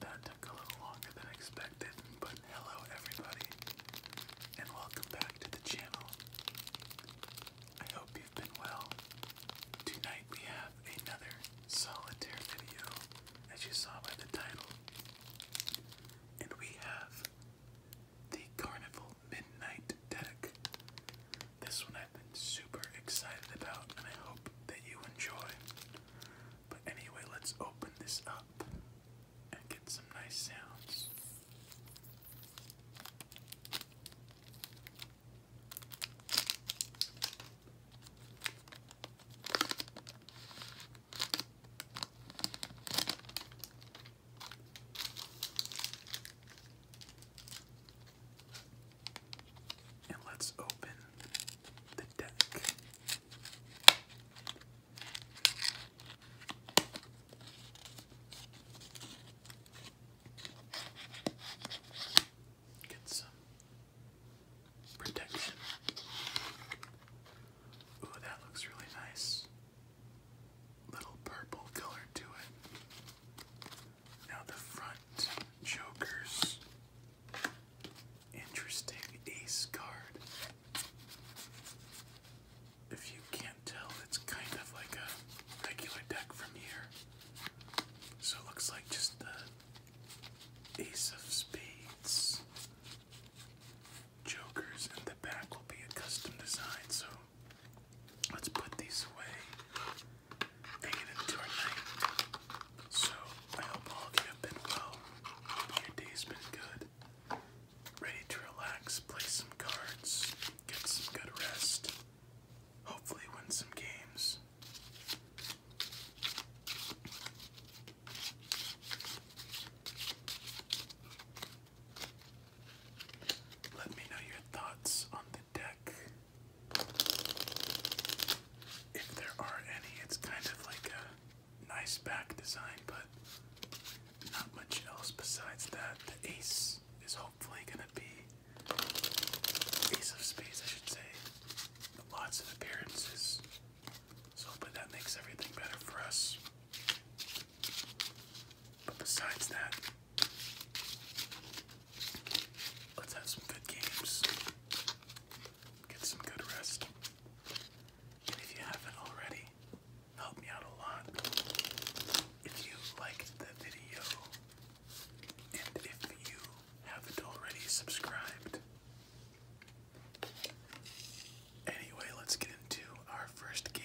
That took a little longer than expected, but hello everybody, and welcome back to the channel. I hope you've been well. Tonight we have another solitaire video, as you saw by the title, and we have the Carnival Midnight deck. This one I've been super excited about, and I hope that you enjoy. But anyway, let's open this up and get some nice sounds. And let's open the deck. Get some protection. Ooh, that looks really nice. Little purple color to it. Now the front jokers. Interesting ace card. If you can't tell, it's kind of like a regular deck from here. So it looks like just the ace of spades. Jokers and the back will be a custom design, so let's put these away. So, I hope all of you have been well. your day's been good. Ready to relax, play some cards, get some good rest, hopefully, win some games. Let me know your thoughts on the deck if there are any, it's kind of like a nice back design, but not much else besides that. The ace is hopefully going to be ace of spades, I should say. Lots of appearances. So, but that makes everything better for us. But besides that, Let's have some good games. Get some good rest. And if you haven't already, help me out a lot. If you liked the video, and if you haven't already subscribed. Anyway, let's get into our first game.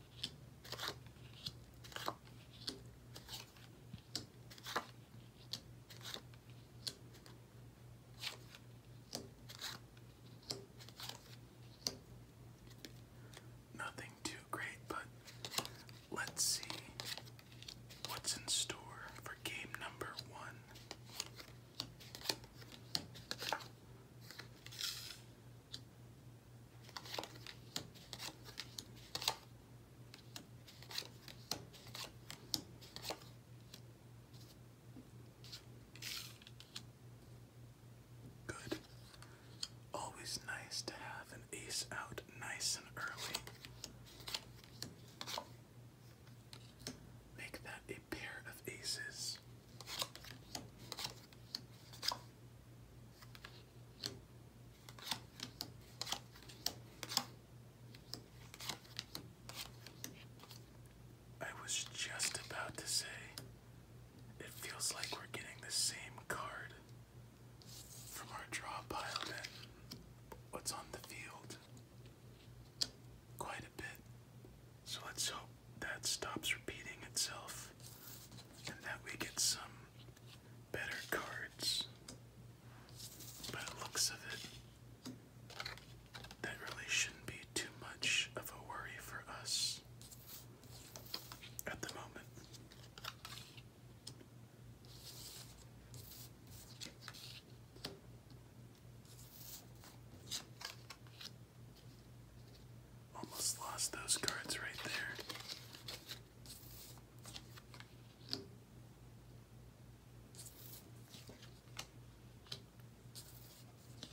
Nothing too great, but let's see what's in store for game number one. Good. Always nice to have an ace out nice and early. Make that a pair of aces. I was just about to say, it feels like we're getting the same card from our draw pile than what's on the field. Quite a bit. So let's hope that stops repeating itself and that we get some better cards. By looks of it, that really shouldn't be too much of a worry for us at the moment. Almost lost those cards right there.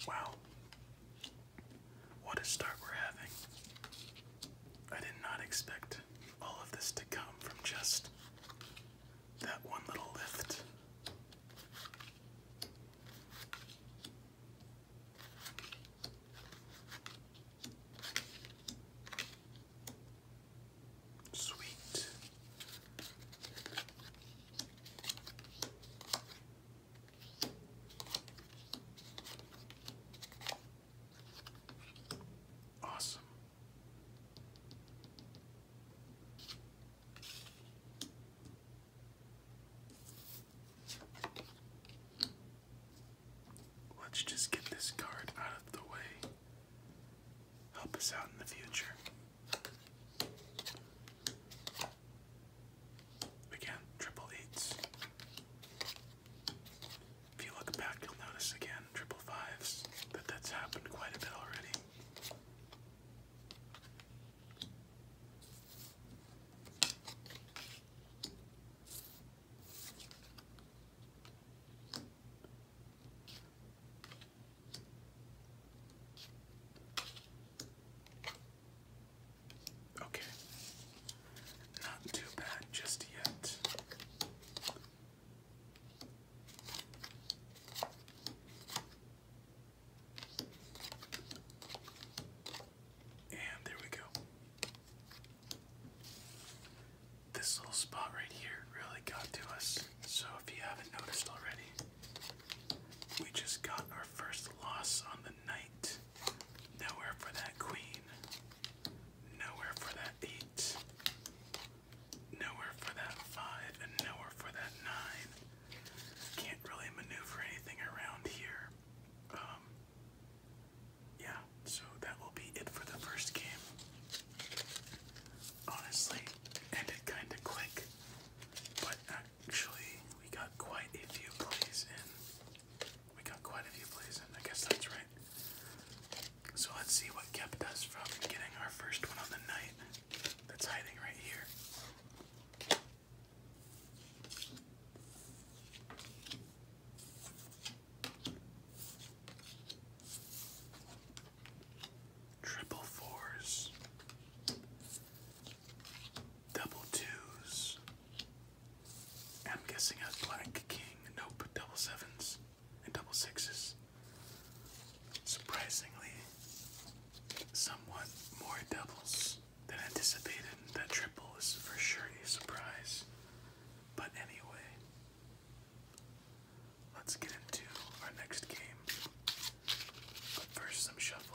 Wow. What a start we're having. I did not expect all of this to come from just that one little lift. Sweet. Awesome. Let's just get this card out of the way. Help us out in the future. Again, triple eights. If you look back, you'll notice again triple fives that that's happened quite a bit already. Okay, not too bad just yet. And there we go. This little spot right here really got to us. So if you haven't noticed already, we just got our first loss on the night. Nowhere for that queen. Nowhere for that eight. Nowhere for that five and nowhere for that nine. Can't really maneuver anything around here. Um, yeah, so that will be it for the first game. Honestly, ended kind of quick, but actually, we got quite a few plays in. We got quite a few plays in, I guess that's right. So let's see what kept us from getting our first one on the night. That's hiding right here. Triple fours, double twos. I'm guessing a black king. Nope, double sevens and double sixes. Surprisingly, somewhat more doubles than anticipated. That triple is for sure a surprise. But anyway, let's get into our next game. But first, some shuffling.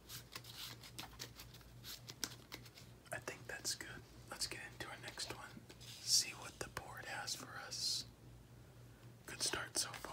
I think that's good. Let's get into our next one. See what the board has for us. Good start so far.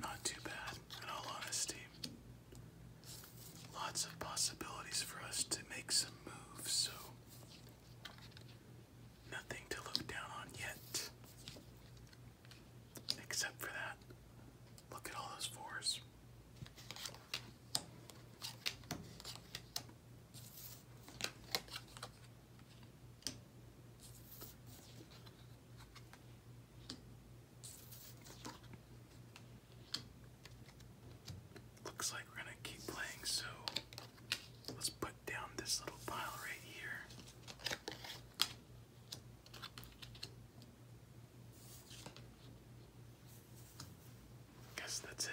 Not too bad, in all honesty. Lots of possibilities for us to make some moves, so nothing to look down on yet. Except for that. Look at all those fours. Looks like we're gonna keep playing, so let's put down this little pile right here. Guess that's it.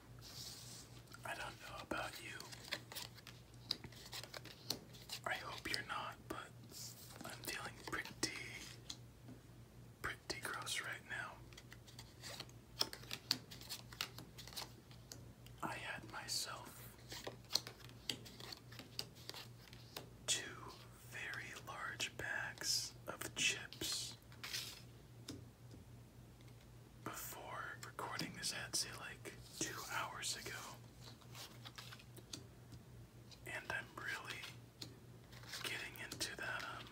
I don't know about you. I hope you're not, but I'm feeling pretty, pretty gross right now. I had myself two very large bags of chips before recording this ad, say like two hours ago. And I'm really getting into that um,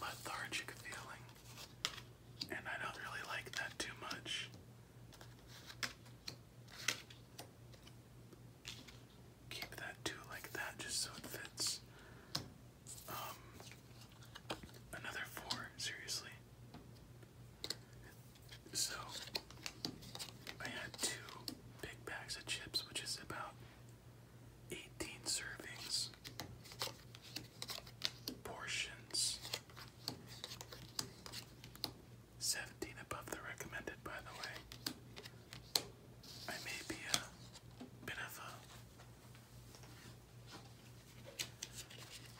lethargic feeling. And I don't really like that too much. Keep that too like that just so it fits um, another four, seriously. So, I had two big bags of chips, which is about 18 servings, portions, 17 above the recommended, by the way. I may be a bit of a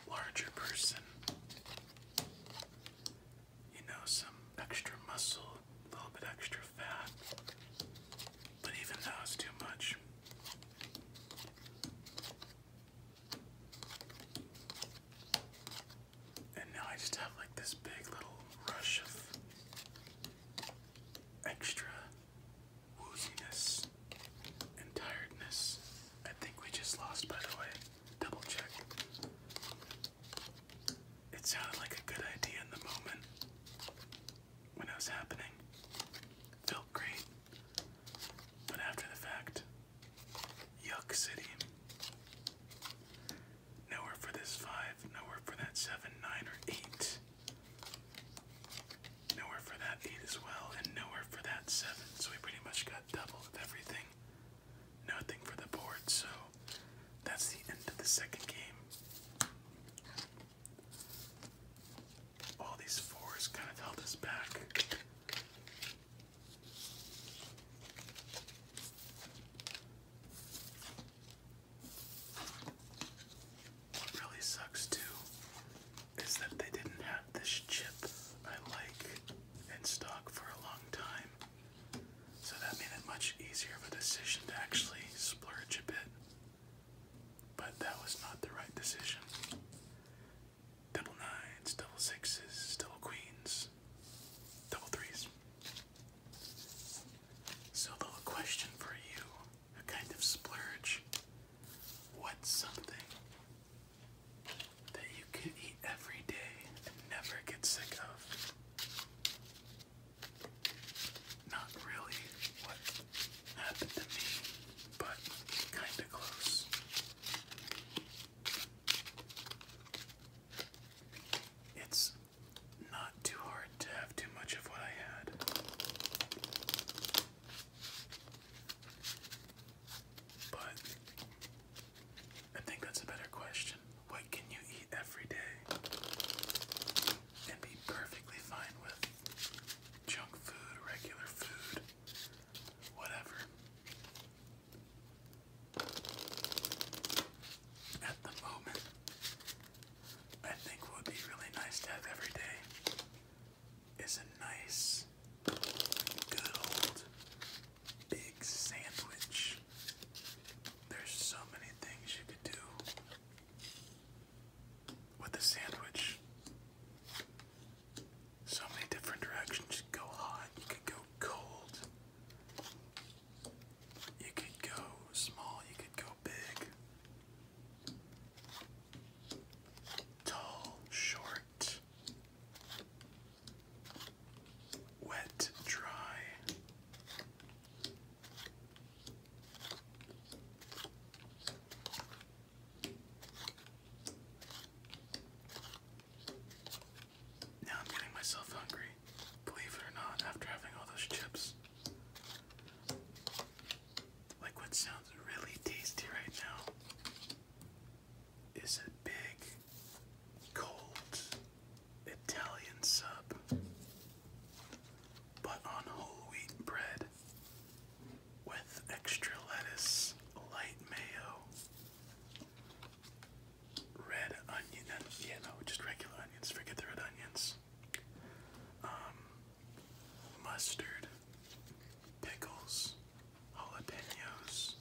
larger person. You know, some extra muscle, a little bit extra fat. But even that was too much. And now I just have like this big little rush of extra wooziness and tiredness. I think we just lost, by the way. Double check. It sounded like a good idea in the moment when it was happening. Felt great. But after the fact, yuck city. Nowhere for this five, nowhere for that seven, nine, or eight. Nowhere for that 8 as well, and nowhere for that 7, so we pretty much got double of everything. Nothing for the board, so that's the end of the second game. All these fours kind of held us back. What really sucks too is that they didn't have this chip I like in stock for a long time. So that made it much easier of a decision to actually splurge a bit. But that was not the right decision. Double nines, double sixes, double queens, double threes. So, the question for you a kind of splurge. What's something that you could eat every day and never get sick of? Not really what happened to me, but kind of close. It's not too hard to have too much of what I had. But I think that's a better question. What can you eat every day and be perfectly fine with? Junk food, regular food, whatever. At the moment, I think would be really nice to have every day is a nice, good old big sandwich. There's so many things you could do with a sandwich. So many different directions. You could go hot, you could go cold, you could go small, you could go big. Tall, short, wet, dry. Now I'm getting myself hungry. Believe it or not, after having all those chips. Like what sounds really tasty right now is a big cold Italian sub, but on whole wheat bread with extra lettuce, light mayo, red onion, and, yeah, no, just regular onions, forget the red onions. Um, mustard, pickles, jalapenos,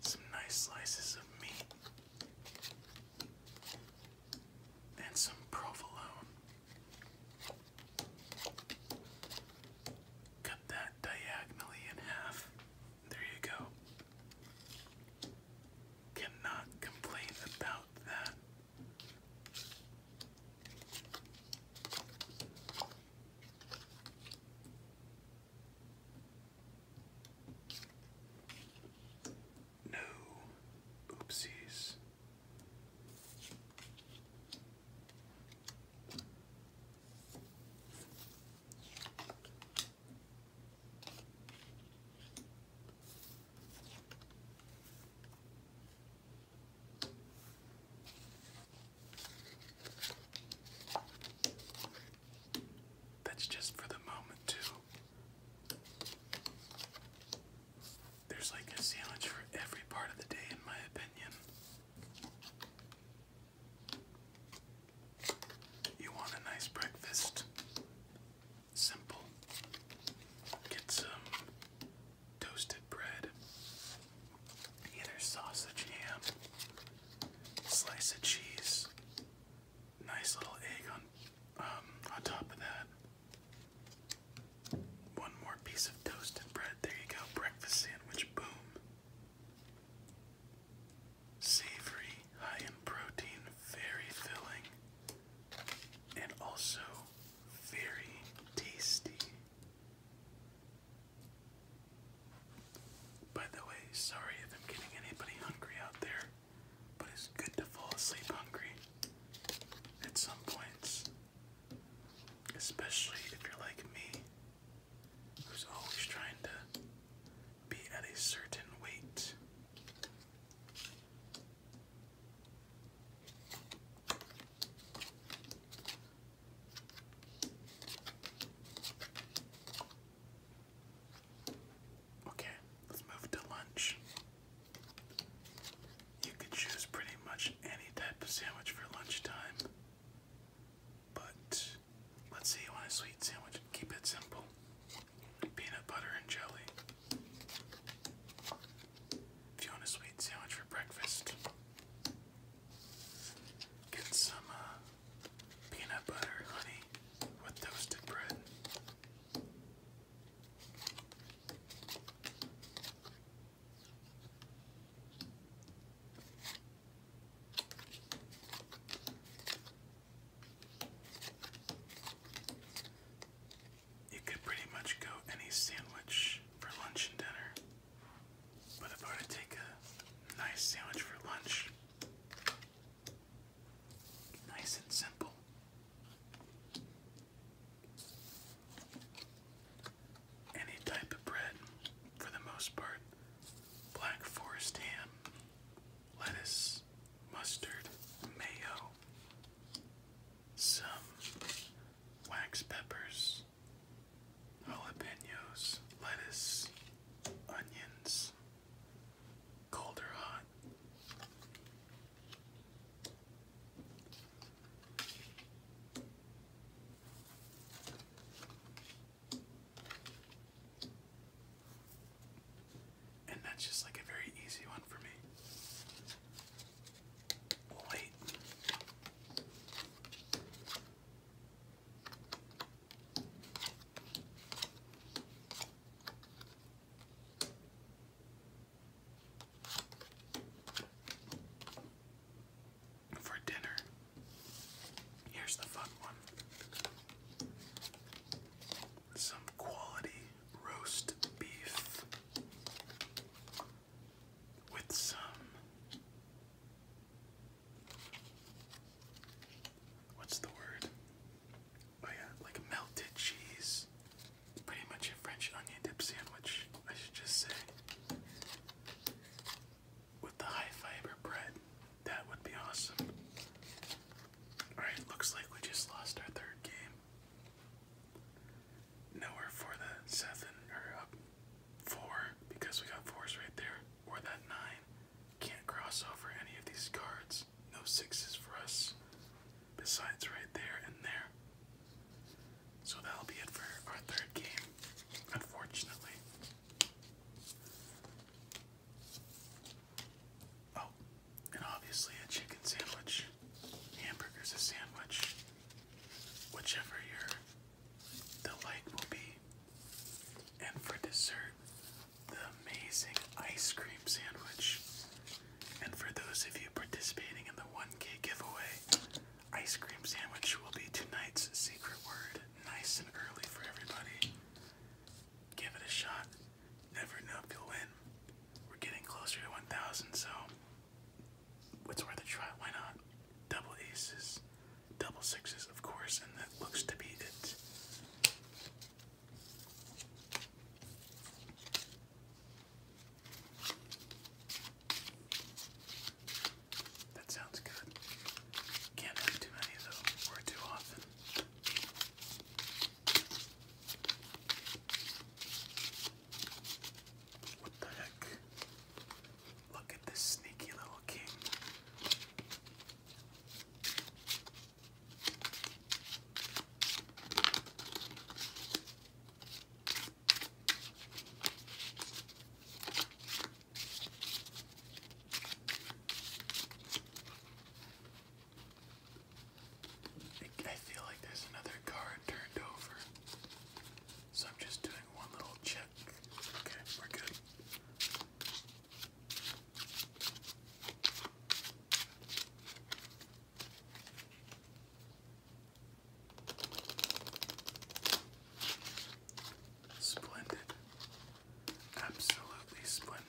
some nice slices of meat, and some provolone. Cut that diagonally in half. There you go. Cannot complain about that. No oopsies. That's just for the moment, too. There's like a sandwich for every part of the day, in my opinion. You want a nice breakfast? simple. Get some toasted bread, either sausage, ham, slice of cheese, nice little egg on um, on top of that. One more piece of toasted bread. There you go, breakfast sandwich. Boom. Savory, high in protein, very filling and also very tasty. By the way, sorry if I'm getting anybody hungry out there, but it's good to fall asleep hungry at some points. Especially if you're like me, who's always trying to be at a certain weight. Okay, let's move to lunch. You could choose pretty much any type of sandwich for lunchtime, but let's say you want a sweet sandwich. Keep it simple peanut butter and jelly. If you want a sweet sandwich for breakfast, get some uh, peanut butter honey with toasted bread you could pretty much go any sandwich for lunch and dinner. But if I were to take a nice sandwich for lunch, nice and simple. Any type of bread, for the most part. Black forest ham, lettuce, mustard, mayo, some wax peppers, jalapenos, lettuce, onions, cold hot. And that's just like a very easy one for me. wait. For dinner, here's the fun one some quality roast beef with some what's the word? Oh yeah, like melted cheese. Pretty much a French onion dip sandwich, I should just say. With the high fiber bread. That would be awesome. Alright, looks like we just lost our third game. Nowhere for the seven or up four because we got fours right there, or that nine. Can't cross over any of these cards. No sixes for us, besides right there and there. So that'll be it for our third game, unfortunately. Oh, and obviously a chicken sandwich. Hamburger's a sandwich. Whichever you're the like will be. And for dessert, the amazing ice cream sandwich. And for those of you participating in the 1K giveaway, ice cream sandwich will be tonight's secret word. Nice and early for everybody give it a shot. Never know if you'll win. We're getting closer to 1,000, so it's worth a try. Why not? Double aces, double sixes, of course, and that looks to be it. That sounds good. Can't have too many though, or too often. What the heck? Look at this sneaky little king. I feel like there's another card turned over. So I'm just doing one little check. Okay, we're good. Splendid. Absolutely splendid.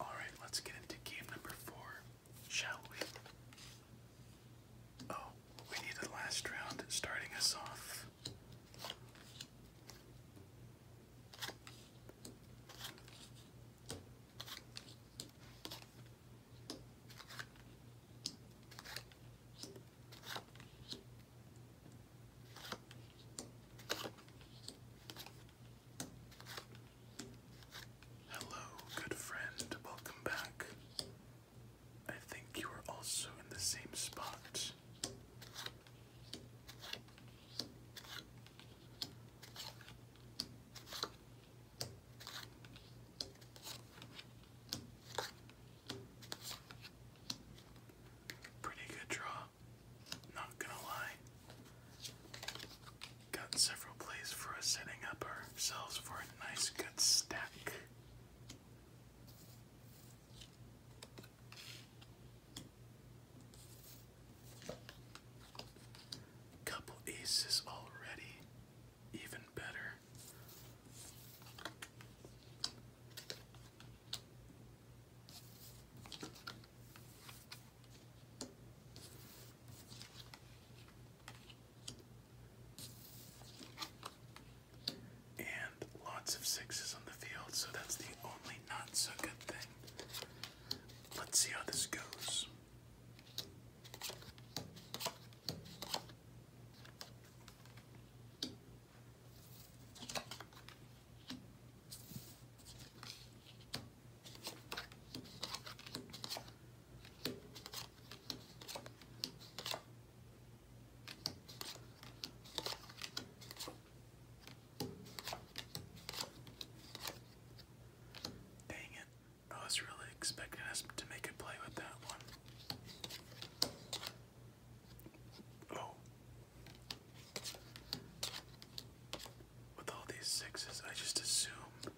All right, let's get into game number four, shall we? Oh, we need the last round starting us off. Hello, good friend. Welcome back. I think you are also in the same spot. Pretty good draw, not gonna lie. Got several plays for us setting up ourselves for a nice good stack. Couple aces already, even better. And lots of sixes on the field, so that's the only not so good thing. Let's see how this goes. Dang it. I was really expecting us to make a play with that one. Oh. With all these sixes, I just assumed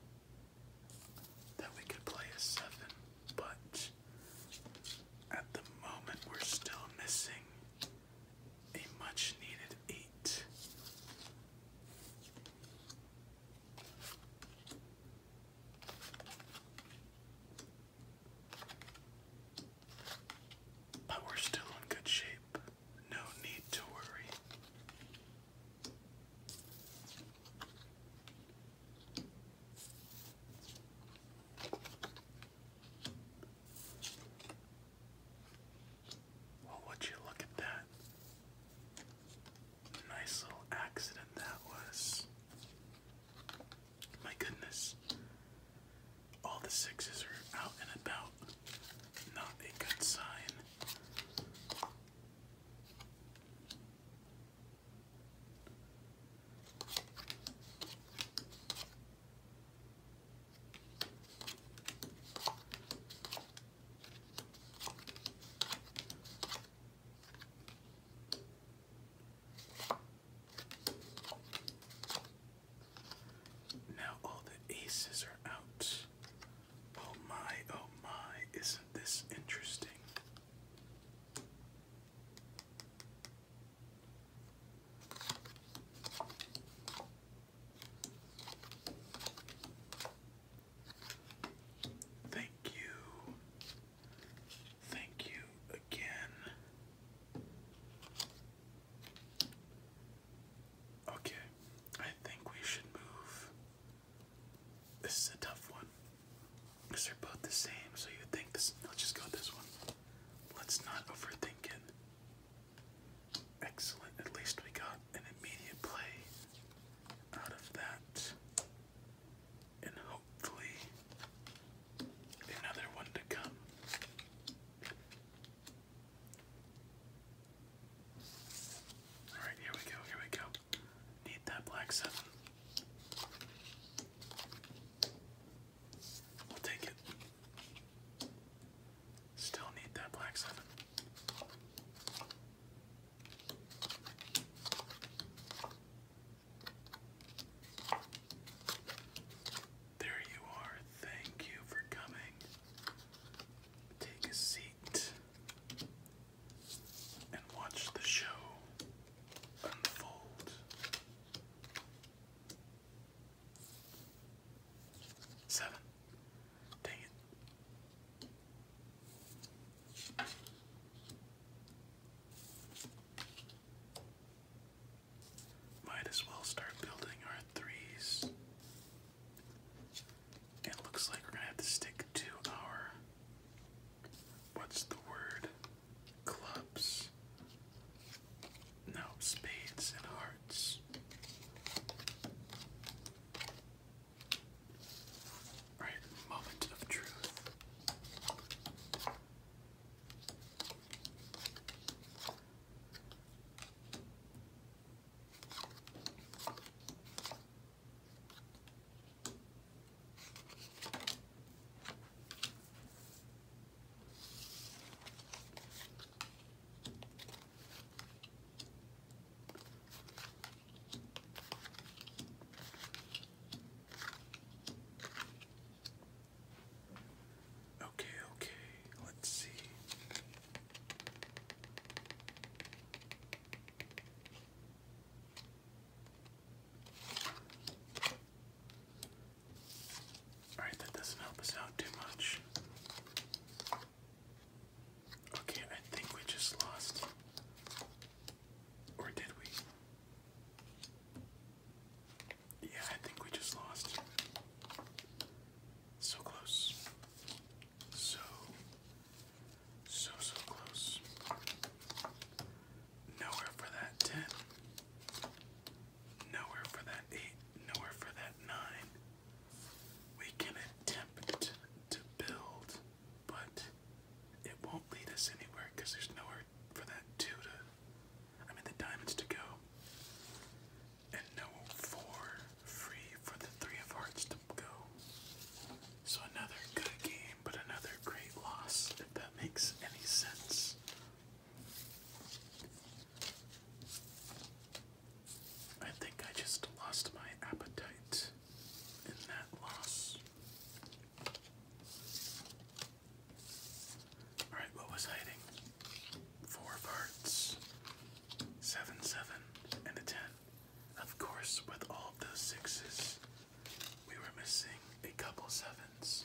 that we could play a seven, but at the moment we're still missing a much needed eight. But we're still in good shape. No need to worry. Well, would you look at that? Nice little accident that was. My goodness. All the sixes are out and about. Not a good sign. Now all the aces are out. Oh my, oh my, isn't this interesting? Thank you. Thank you again. Okay, I think we should move. This is a tough one. Because they're both the same, so you think this. Let's just go with this one. Let's not overthink it. Excellent. At least we got an immediate play out of that. And hopefully another one to come. Alright, here we go, here we go. Need that black seven. We'll take it. Still need that black seven. There you are. Thank you for coming. Take a seat and watch the show unfold. Seven. Dang Might as well start building our threes. It looks like we're gonna have to stick to our what's the word? Clubs. No, spades and hearts. All right, moment of truth. Okay, okay, let's see. Alright, that doesn't help us out too much. Okay, I think we just lost. Or did we? Yeah, I think we just lost. So close. So, so, so close. Nowhere for that 10. Nowhere for that 8. Nowhere for that 9. We can attempt to build, but it won't lead us anywhere because there's nowhere for that two to. I mean, the diamonds to go. And no four free for the three of hearts to go. So another good game, but another great loss, if that makes any sense. I think I just lost my appetite in that loss. Alright, what was hiding? Four parts. Seven, seven, and a ten. Of course, with all those sixes, we were missing a couple sevens.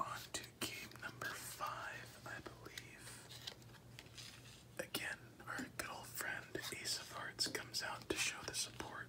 On to game number five, I believe. Again, our good old friend Ace of Hearts comes out to show the support.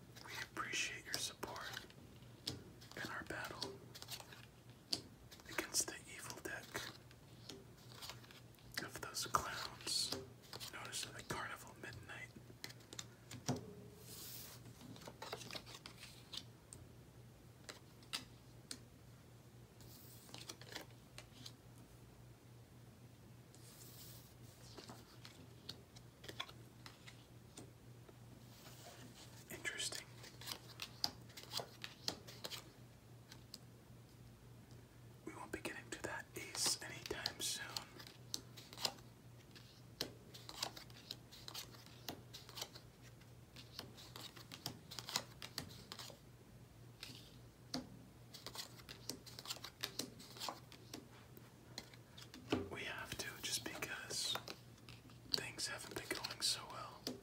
We appreciate your support in our battle against the evil deck of those clowns. Notice the Carnival Midnight. Interesting. We won't be getting to that ace anytime soon. We have to just because things haven't been going so well.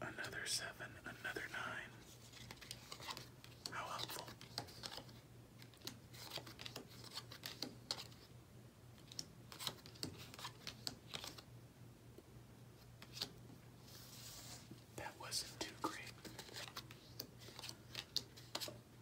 Another seven, another nine. How helpful. That wasn't too great.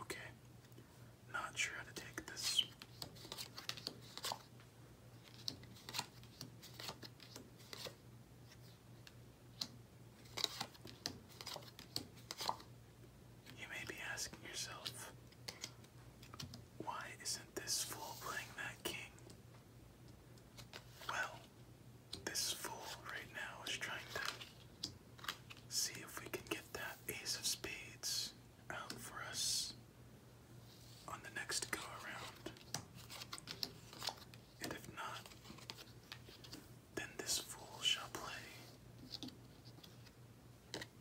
Okay, not sure how to take this. You may be asking yourself, why isn't this fool playing that king? Well, this fool right now is trying to see if we can get that ace of spades out for us on the next go around. And if not, then this fool shall play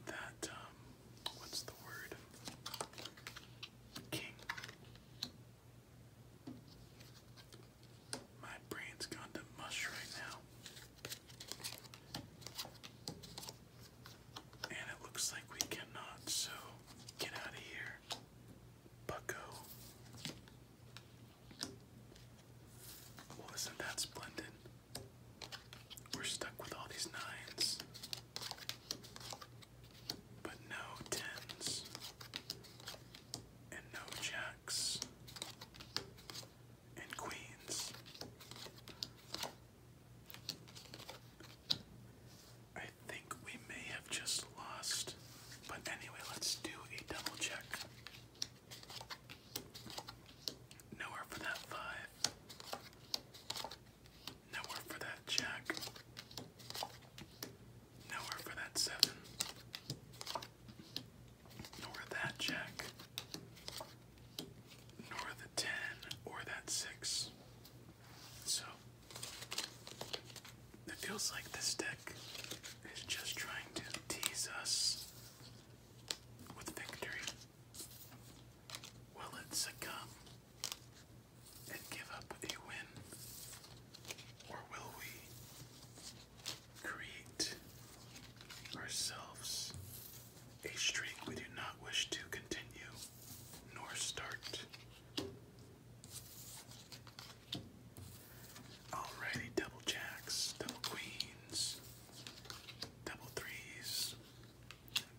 that, um, what's the word? King. My brain's gone to mush right now. And it looks like we cannot, so get out of here, bucko. Well, isn't that splendid? We're stuck with all these nines but no tens and no jacks and queens. I think we may have just lost, but anyway, let's do a double check. Nowhere for that five. Nowhere for that jack. Nowhere for that seven. Nor that jack. Nor the ten or that six. So it feels like this deck is just trying to tease us with victory. Will it succumb? and give up a win? Or will we create ourselves a streak we do not wish to continue nor start? Alrighty, double jacks, double queens, double threes,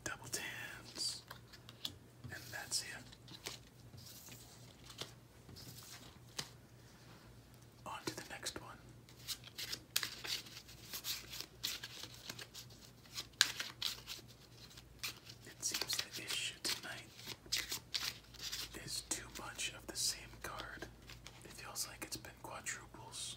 double tens, and that's it. On to the next one. It seems the issue tonight is too much of the same card. It feels like it's been quadruples.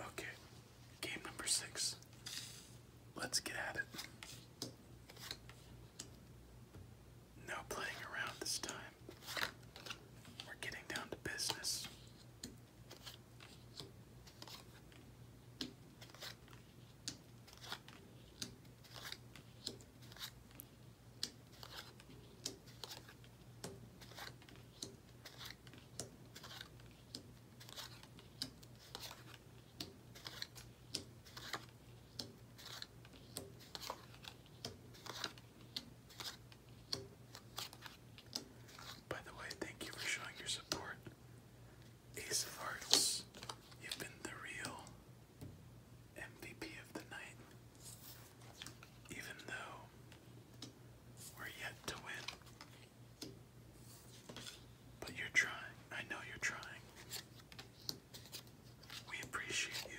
Okay, game number six. Let's get at it. No playing around this time. We're getting down to business. By the way, thank you for showing your support. Ace of Hearts, you've been the real MVP of the night, even though we're yet to win. But you're trying. I know you're trying. We appreciate you.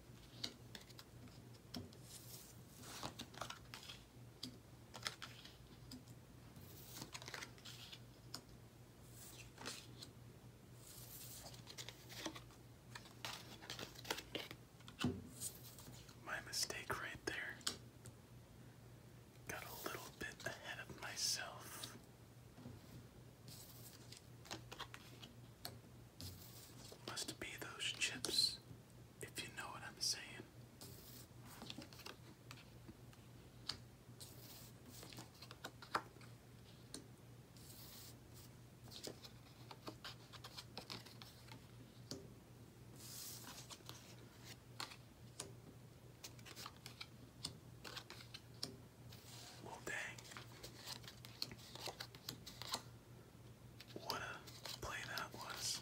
My mistake right there. Got a little bit ahead of myself. Must be those chips, if you know what I'm saying. Well, dang. What a play that was.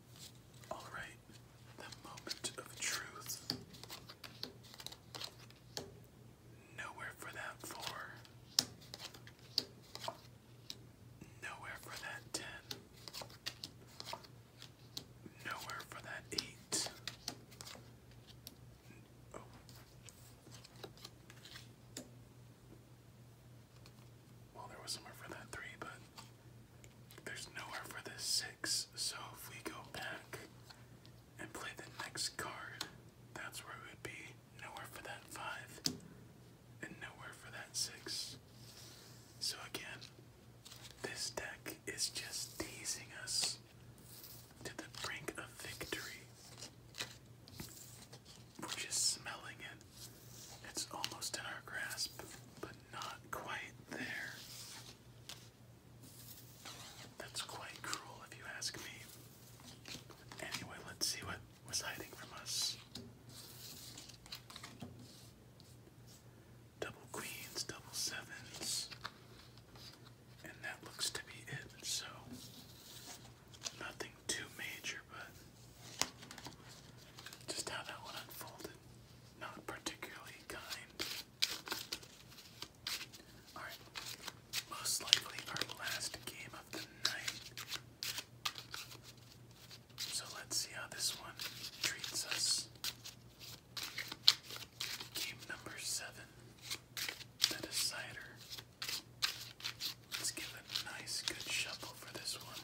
All right, the moment of truth. Nowhere for that four. Nowhere for that ten. Nowhere for that eight. Oh. Well, there was somewhere for that three, but there's nowhere for this six. So if we go back and play the next card, that's where it would be. Nowhere for that five, and nowhere for that six. So again, this deck is just teasing us to the brink of victory. We're just smelling it. It's almost in our grasp, but not quite there. That's quite cruel if you ask me. Anyway, let's see what was hiding from us. Double queens, double sevens. And that looks to be it, so nothing too major, but just how that one unfolded. Not particularly kind. Alright, most likely our last game of the night. So let's see how this one treats us. Game number seven, the decider. Let's give a nice good shuffle for this one.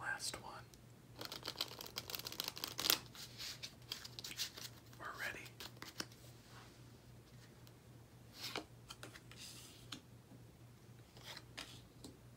Last one. We're ready.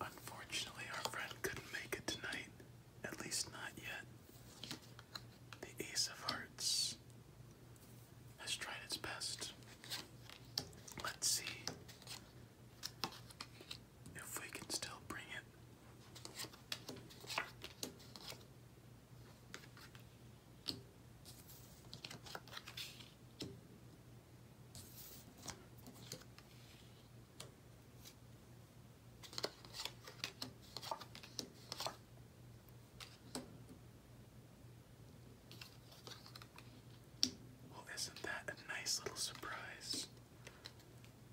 Unfortunately, our friend couldn't make it tonight, at least not yet. The Ace of Hearts has tried its best. Let's see if we can still bring it. Well, isn't that a nice little surprise?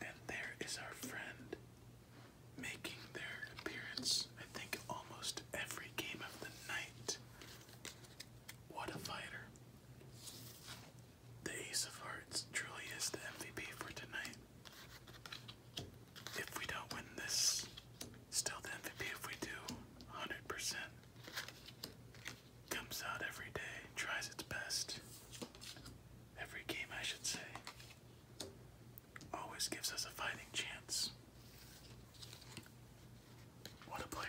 And there is our friend making their appearance, I think, almost every game of the night. What a fighter. The Ace of Hearts truly is the MVP for tonight. If we don't win this, still the MVP. If we do, 100%. Comes out every day, tries its best. Every game, I should say always gives us a fighting chance. What a player.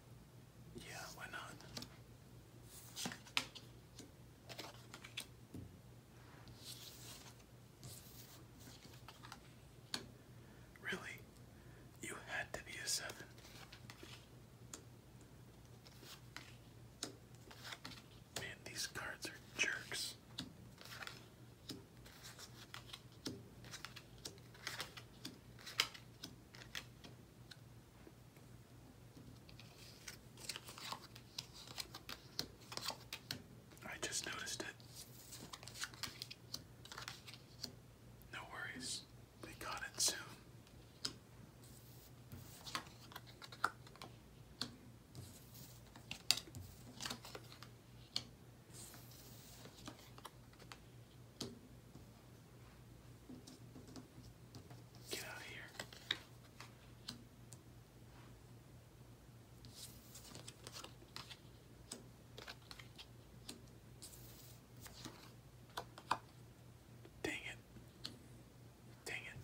Yeah, why not? Really? You had to be a seven. Man, these cards are jerks. I just noticed it. No worries, we got it soon. Get out here. Dang it. Dang it.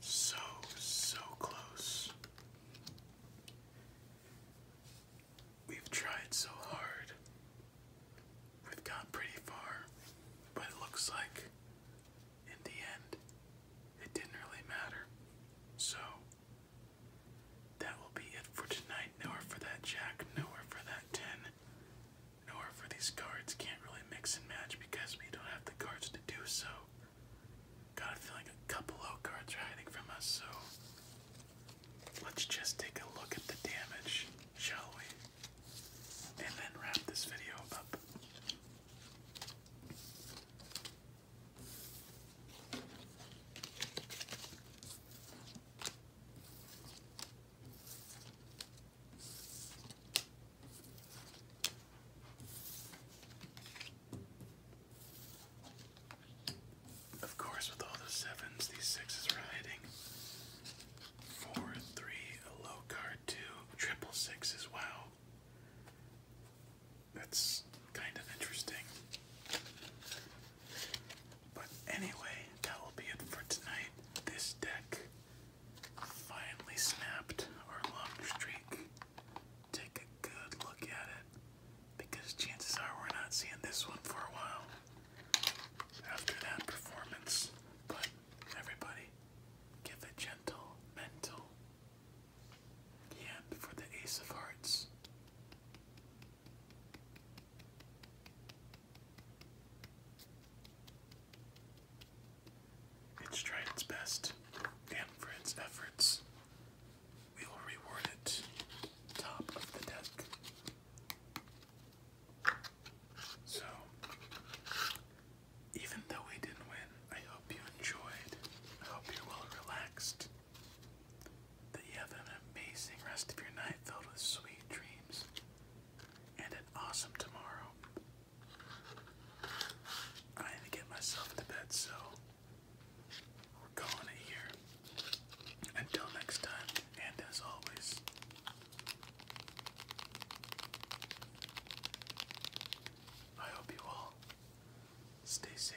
So, so close. We've tried so hard. We've gone pretty far, but it looks like in the end it didn't really matter. So, that will be it for tonight. Nowhere for that jack, nowhere for that 10. In for these cards, can't really mix and match because we don't have the cards to do so. Got a feeling a couple low cards are hiding from us, so let's just take a look at the damage, shall we? And then wrap this video up. Of course, with all the sevens, these sixes are hiding. Four, three, low card, two, triple sixes. Wow. That's kind of interesting. But anyway, that will be it for tonight. This deck finally snapped our long streak. Take a good look at it because chances are we're not seeing this one for a while after that performance. But everybody, give a gentle mental hand for the Ace of Hearts. It's tried its best, and for its efforts, we will reward it top of the deck. So, even though we didn't win, I hope you enjoyed. I hope you're well relaxed. That you have an amazing rest of your night filled with sweet dreams and an awesome tomorrow. I need to get myself to bed, so we're calling it here. Until next time, and as always, I hope you all stay safe